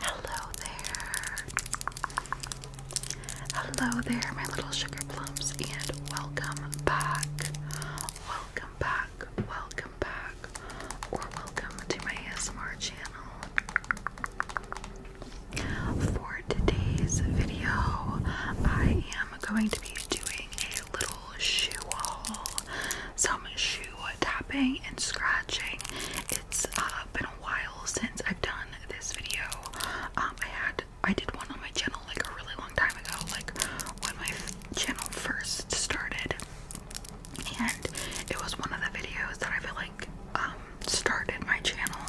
Hello there. Hello there, my little sugar plums, and welcome back. Welcome back, welcome back, or welcome to my ASMR channel. For today's video, I am going to be doing a little shoe haul. So some shoe tapping and scratching. It's uh, been a while since I've done this video. Um, I had I did one on my channel like a really long time ago, like when my channel first started, and it was one of the videos that I feel like um, started my channel.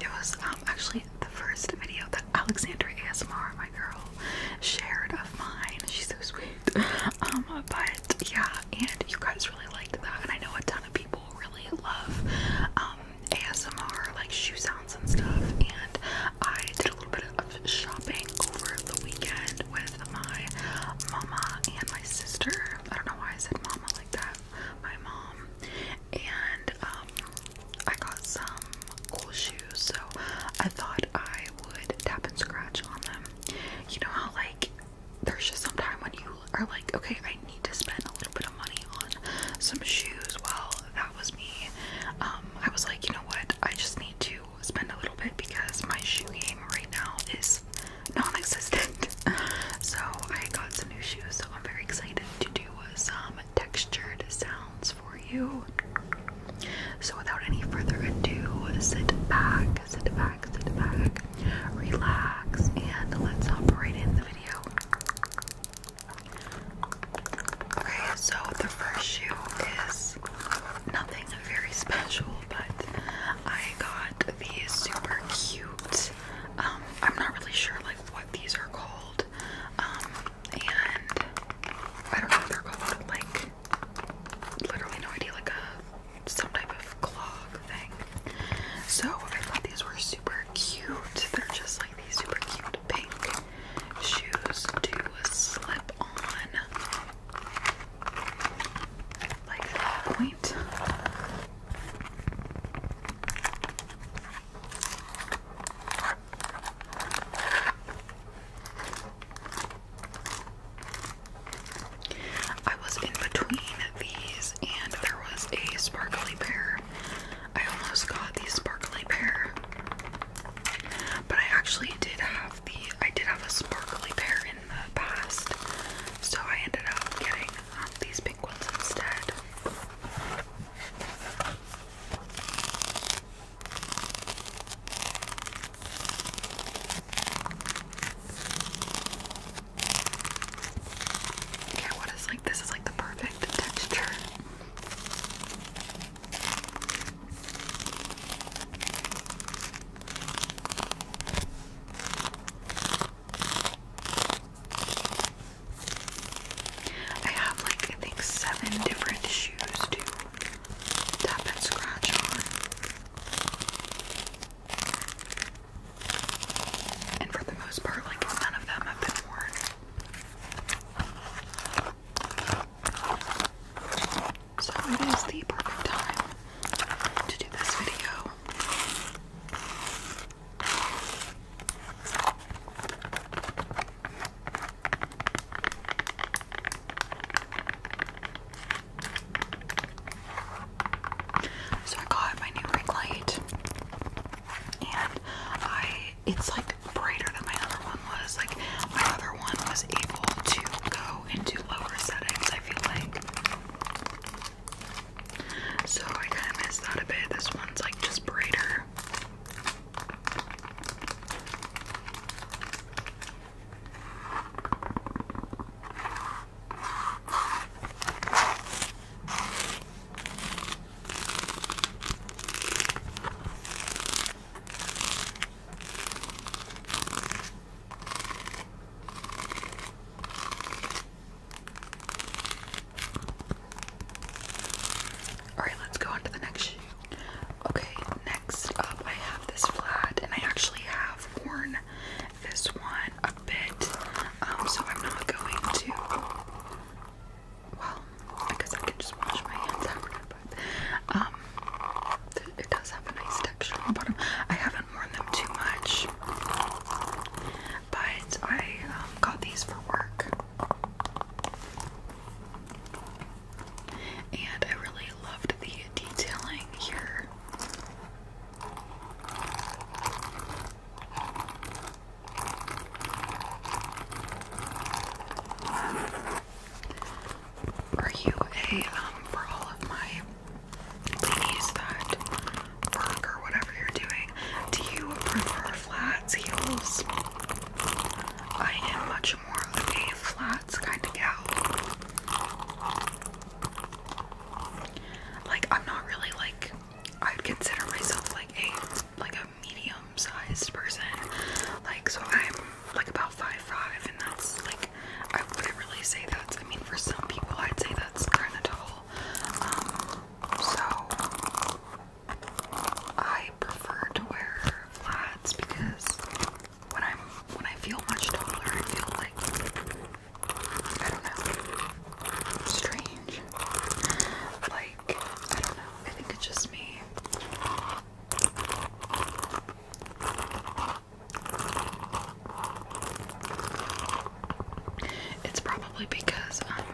It was um, actually the first video that Alexandra ASMR, my girl, shared of mine. She's so sweet. Um, but yeah, and you guys really liked that, and I know a ton of people really love um, ASMR, like shoe sounds and stuff. And I did a little bit of shopping over the weekend with my mama and my sister. I don't know why I said mama like that. My mom and um, I got some cool shoes, so I thought I would tap and scratch on them. You know how like there's just some time when you are like, okay, I need to spend a little bit of money on some shoes. Well, that was me. Um, I was like, you know what? I just need to spend a little bit because my shoe game right now is non-existent. so I got some new shoes. So I'm very excited to do some textured sounds for you. So, without any further ado, sit back, sit back, sit back, relax, and let's operate in the video. Okay, so the first shoe is nothing very special, but I got these super cute. Um, I'm not really sure like what these are called. Um, and I don't know what they're called. Like, literally no idea. Like a some type of clog thing. So I thought these were super cute. They're just like these super cute pink shoes to slip on like that point. I was in between these and there was a sparkly pear. I almost got the sparkly pear. But I actually did have the I did have a sparkly pear in the past. So I ended up getting um, these pink ones instead. Yeah, what is like this is like the perfect texture. I have like I think seven different shoes to tap and scratch on. And for the most part, like none of them have been worn. So it is the perfect time to do this video. So I got my new ring light and I it's like brighter than my other one was. Like my other one was able to go into lower settings, I feel like. So I kinda missed that a bit. This one's like just brighter. Alright, let's go on to the next shoe. Okay, next up I have this flat and I actually have worn this one a bit. Um, so I'm not going to well, I I can just wash my hands after but um, it does have a nice texture on the bottom. I haven't worn them too much. But I um, got these for work and I really loved the detailing here. Are you a, um, for all of my ladies that work or whatever you're doing, do you prefer flats, heels? I am much more of a flat nuts kind of gal. Like I'm not really like I'd consider myself like a like a medium-sized person. Like so I'm like about five five and that's like I wouldn't really say that's I mean for some people I'd say that's kinda tall. Um, so I prefer to wear flats because when I'm when I feel much taller, I feel like I don't know, strange. Like I don't know. I think it's just me. It's probably because um,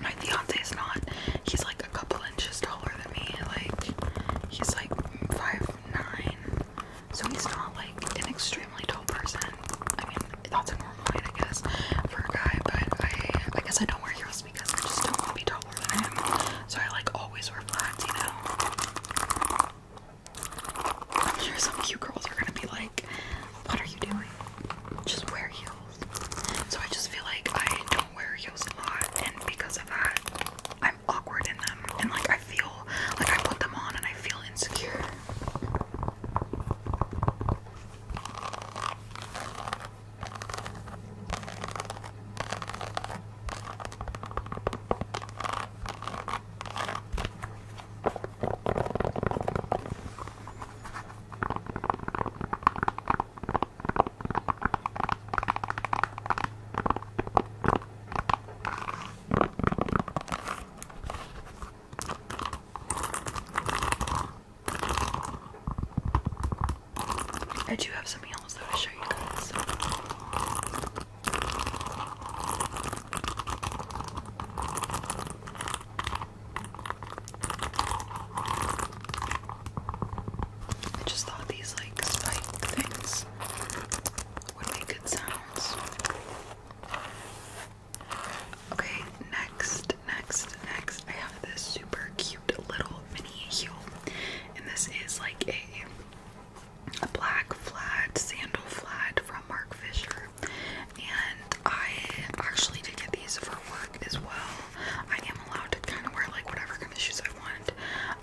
my fiance is not. He's like a couple inches taller than me. Like he's like five nine, so he's not like an extremely tall person. I mean, that's a normal height, I guess, for a guy. But I, I guess I don't wear heels because I just don't want to be taller than him. So I like always wear flats, you know. I'm sure some cute girls are gonna be like, "What are you doing? Just wear heels." So I just feel like I don't wear heels a lot, and because of that, I am awkward in them and like I feel like I put them on and I feel insecure. I do have something else though to show you guys. I just thought these like spike things would be good sounds. Okay, next, next, next, I have this super cute little mini heel, and this is like a, a black flat sandal flat from Mark Fisher, and I actually did get these for work as well. I am allowed to kind of wear like whatever kind of shoes I want.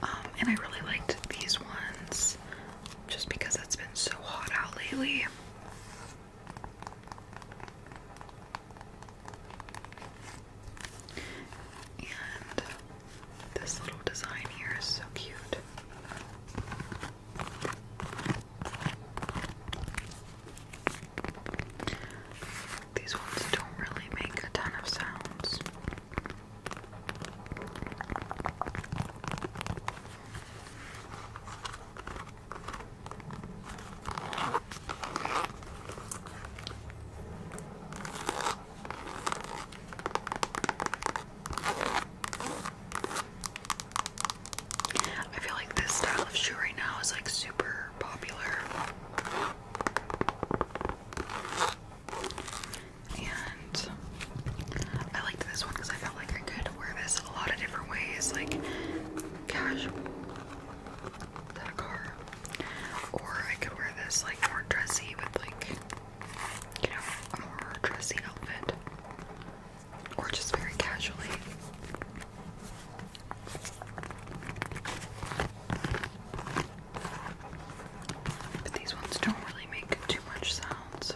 Um, and I really liked these ones just because it's been so hot out lately. And this little design here is so cute. These ones don't really make a ton of sounds. I feel like this style of shoe right now is like super popular. And I liked this one because I felt like I could wear this a lot of different ways, like casual Or I could wear this like more dressy with like you know, a more dressy outfit. Or just very casually. But these ones don't really make too much sound, so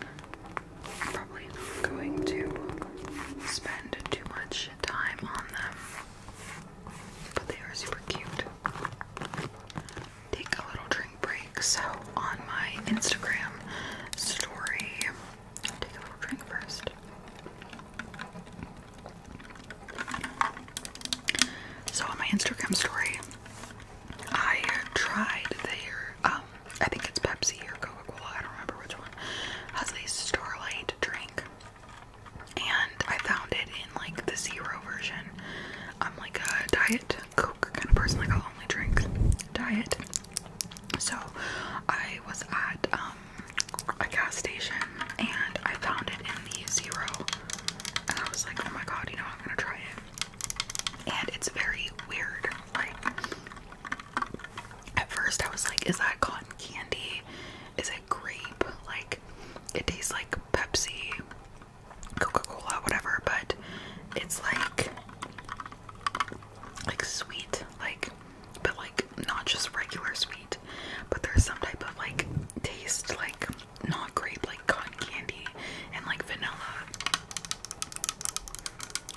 I'm probably not going to spend too much time on them. But they are super cute. Take a little drink break. So on my Instagram story, take a little drink first. So on my Instagram story, I tried their um I think it's Pepsi or Coca-Cola, I don't remember which one. Has a Starlight drink. And I found it in like the zero version. I'm like a diet Coke kind of person, like I'll only drink diet. So I was at um, a gas station and I found it in the zero and I was like, oh my god, you know, I'm gonna try it. And it's very weird. Like, at first I was like, is that cotton candy? Is it grape? Like, it tastes like Pepsi, Coca Cola, whatever, but it's like, like sweet, like, but like not just regular sweet, but there's some type of like taste, like, not grape, like cotton candy and like vanilla.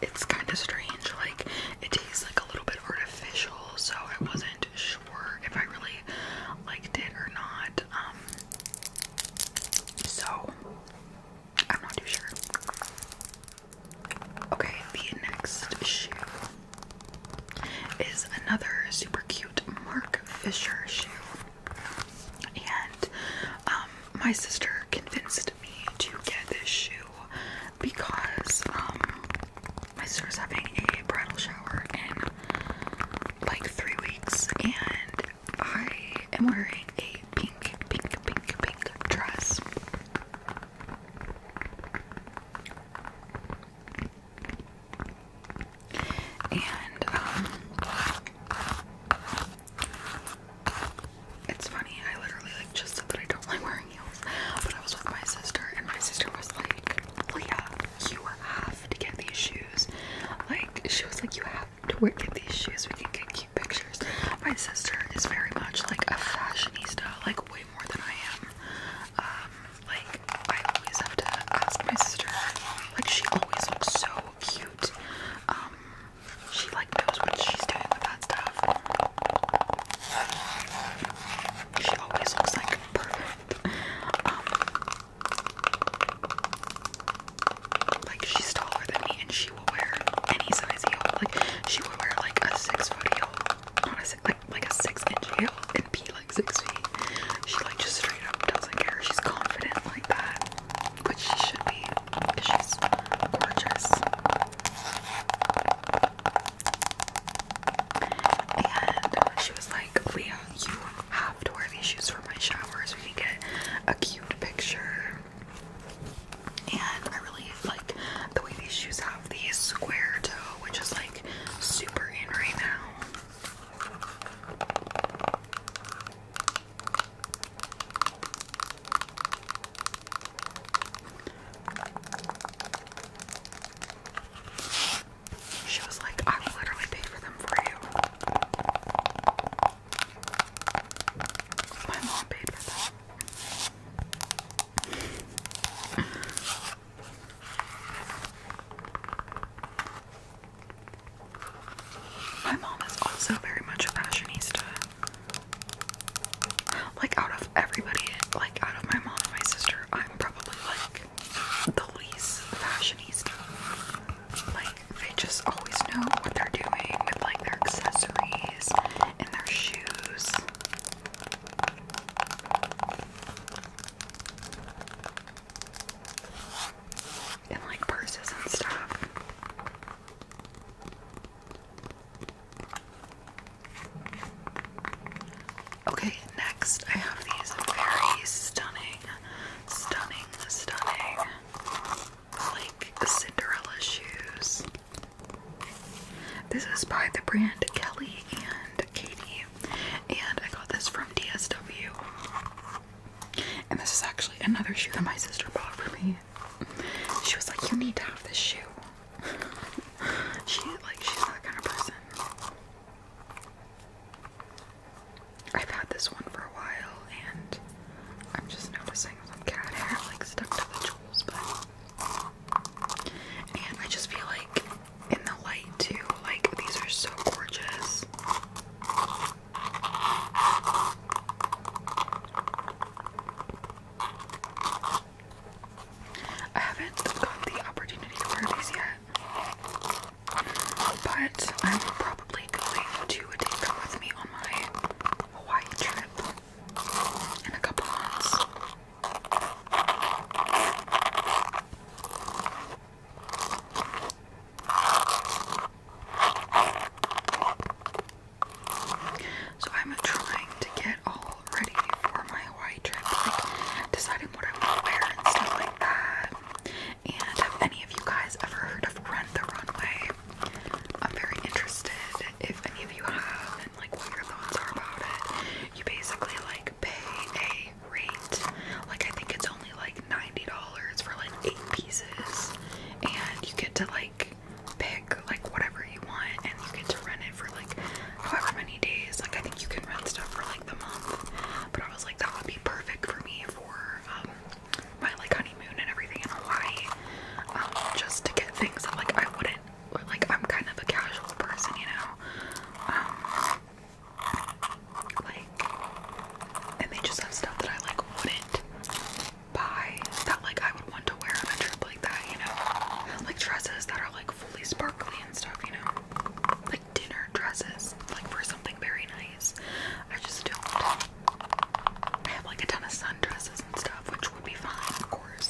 It's kind of strange, like it tastes like a little bit artificial, so I wasn't sure if I really liked it or not. Um, so I'm not too sure. Okay, the next shoe is another super cute Mark Fisher shoe. And um, my sister convinced me to get this shoe because um, my sister's having a bridal shower in like three weeks, and I am wearing a pink, pink, pink, pink dress. And um it's funny, I literally like just said that I don't like wearing heels, but I was with my sister and my sister was like, Leah, oh, you have to get these shoes. Like she was like, You have to wear get these shoes, we can get cute pictures. My sister is very much like a fashionista, like way more than I am. Um like, I always have to ask my sister. Like, she always looks so cute. Um, she like knows what she's doing with that stuff. She always looks like perfect. Um, like she's taller than me, and she will wear any size heel. Like she will wear like a six foot heel, not a six, like like a six inch heel, and be like six feet. She like just straight up doesn't care. She's confident like that, which she should be because she's gorgeous. And she was like, Leah, you have to wear these shoes for my showers. we can get a cute picture. And I really like the way these shoes have the square toe, which is like super in right now. She was like, I will literally pay for them for you. My mom paid for them. My mom is also very much a fashionista. Like out of everybody, like out of my mom and my sister, I'm probably like the least fashionista. Like they just always know what they're doing with like their accessories and their shoes and like purses and stuff. Okay, next I have these very stunning, stunning, stunning, like Cinderella shoes. This is by the brand Kelly and Katie. And I got this from DSW. And this is actually another shoe that my sister bought for me. She was like, You need to have this shoe. she like she's that kind of person. I've had this one for a while and I'm just noticing some cat hair like stuck to the jewels, but and I just feel like in the light too. Like these are so gorgeous. I haven't got the opportunity to wear these yet. But I'm probably going to take them with me on my Hawaii trip in a couple months. So I'm trying to get all ready for my Hawaii trip, like deciding what I want to wear and stuff like that. And have any of you guys ever heard of Rent the Runway? I'm very interested if any of you have and like what your thoughts are about it. You basically like pay great. Like I think it's only like $90 for like eight pieces and you get to like pick like whatever you want and you get to rent it for like however many days. Like I think you can rent stuff for like the month. But I was like that would be perfect for me for um my like honeymoon and everything in Hawaii. Um just to get things that like I wouldn't like I'm kind of a casual person, you know. Um like, and they just have stuff that I like wouldn't buy that like I would want to wear on a trip like that, you know? Like dresses that are like fully sparkly and stuff, you know? Like dinner dresses, like for something very nice. I just don't. I have like a ton of sundresses and stuff, which would be fine, of course.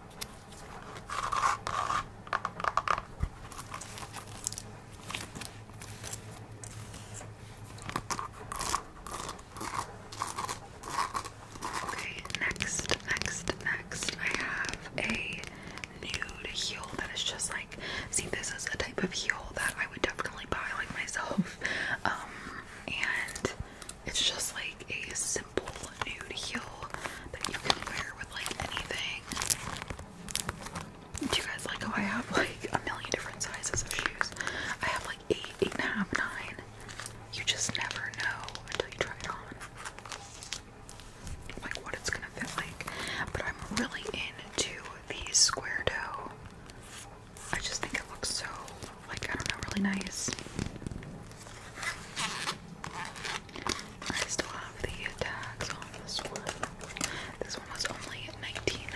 Okay, next, next, next, I have a nude heel that is just like, see, this is a type of heel that I would definitely buy like myself. Um, and it's just like a simple nude heel that you can wear with like anything. Do you guys like how I have like a million different sizes of shoes? I have like eight, eight and a half, nine. You just never know until you try it on. Like what it's gonna fit like. But I'm really into these square toe. I just think it looks so like I don't know, really nice. I still have the tags on this one. This one was only 19 dollars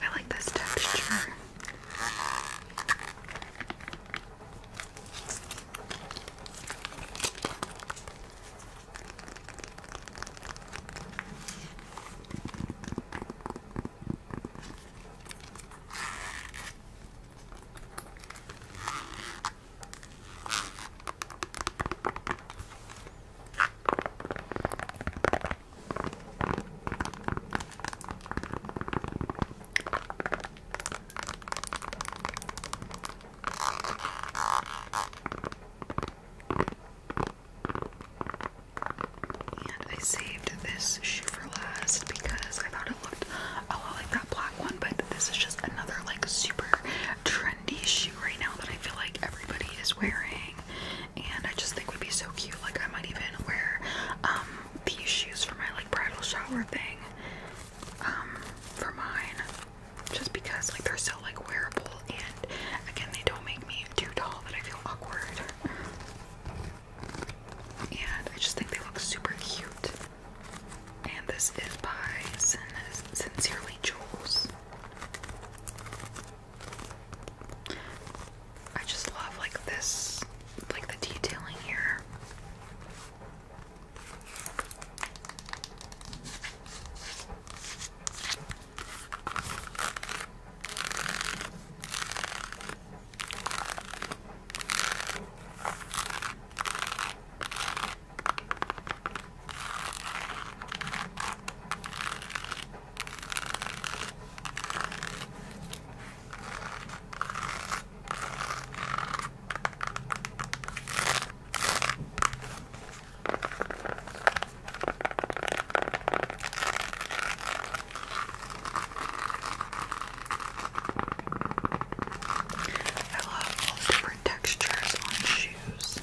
I like this texture. And I saved this shoe for last because I thought it looked a lot like that black one, but this is just another like super trendy shoe right now that I feel like everybody is wearing, and I just think would be so cute. Like I might even wear um, these shoes for my like bridal shower thing. Um, for mine, just because like they're so like wearable, and again they don't make me too tall that I feel awkward. And I just think they look super cute. And this is by Sincerely Jules. I just love like this, like the detailing here. I love all different textures on shoes.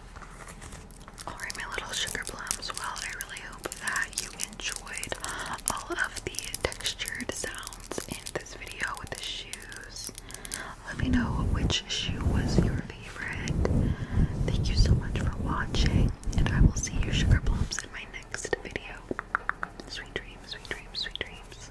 Alright, my little sugar plums. Well, I really hope that you enjoyed all of the textured sounds in this video with the shoes. Let me know which shoe was your favorite. Thank you so much for watching, and I will see you, sugar plums, in my next video. Sweet dreams, sweet dreams, sweet dreams.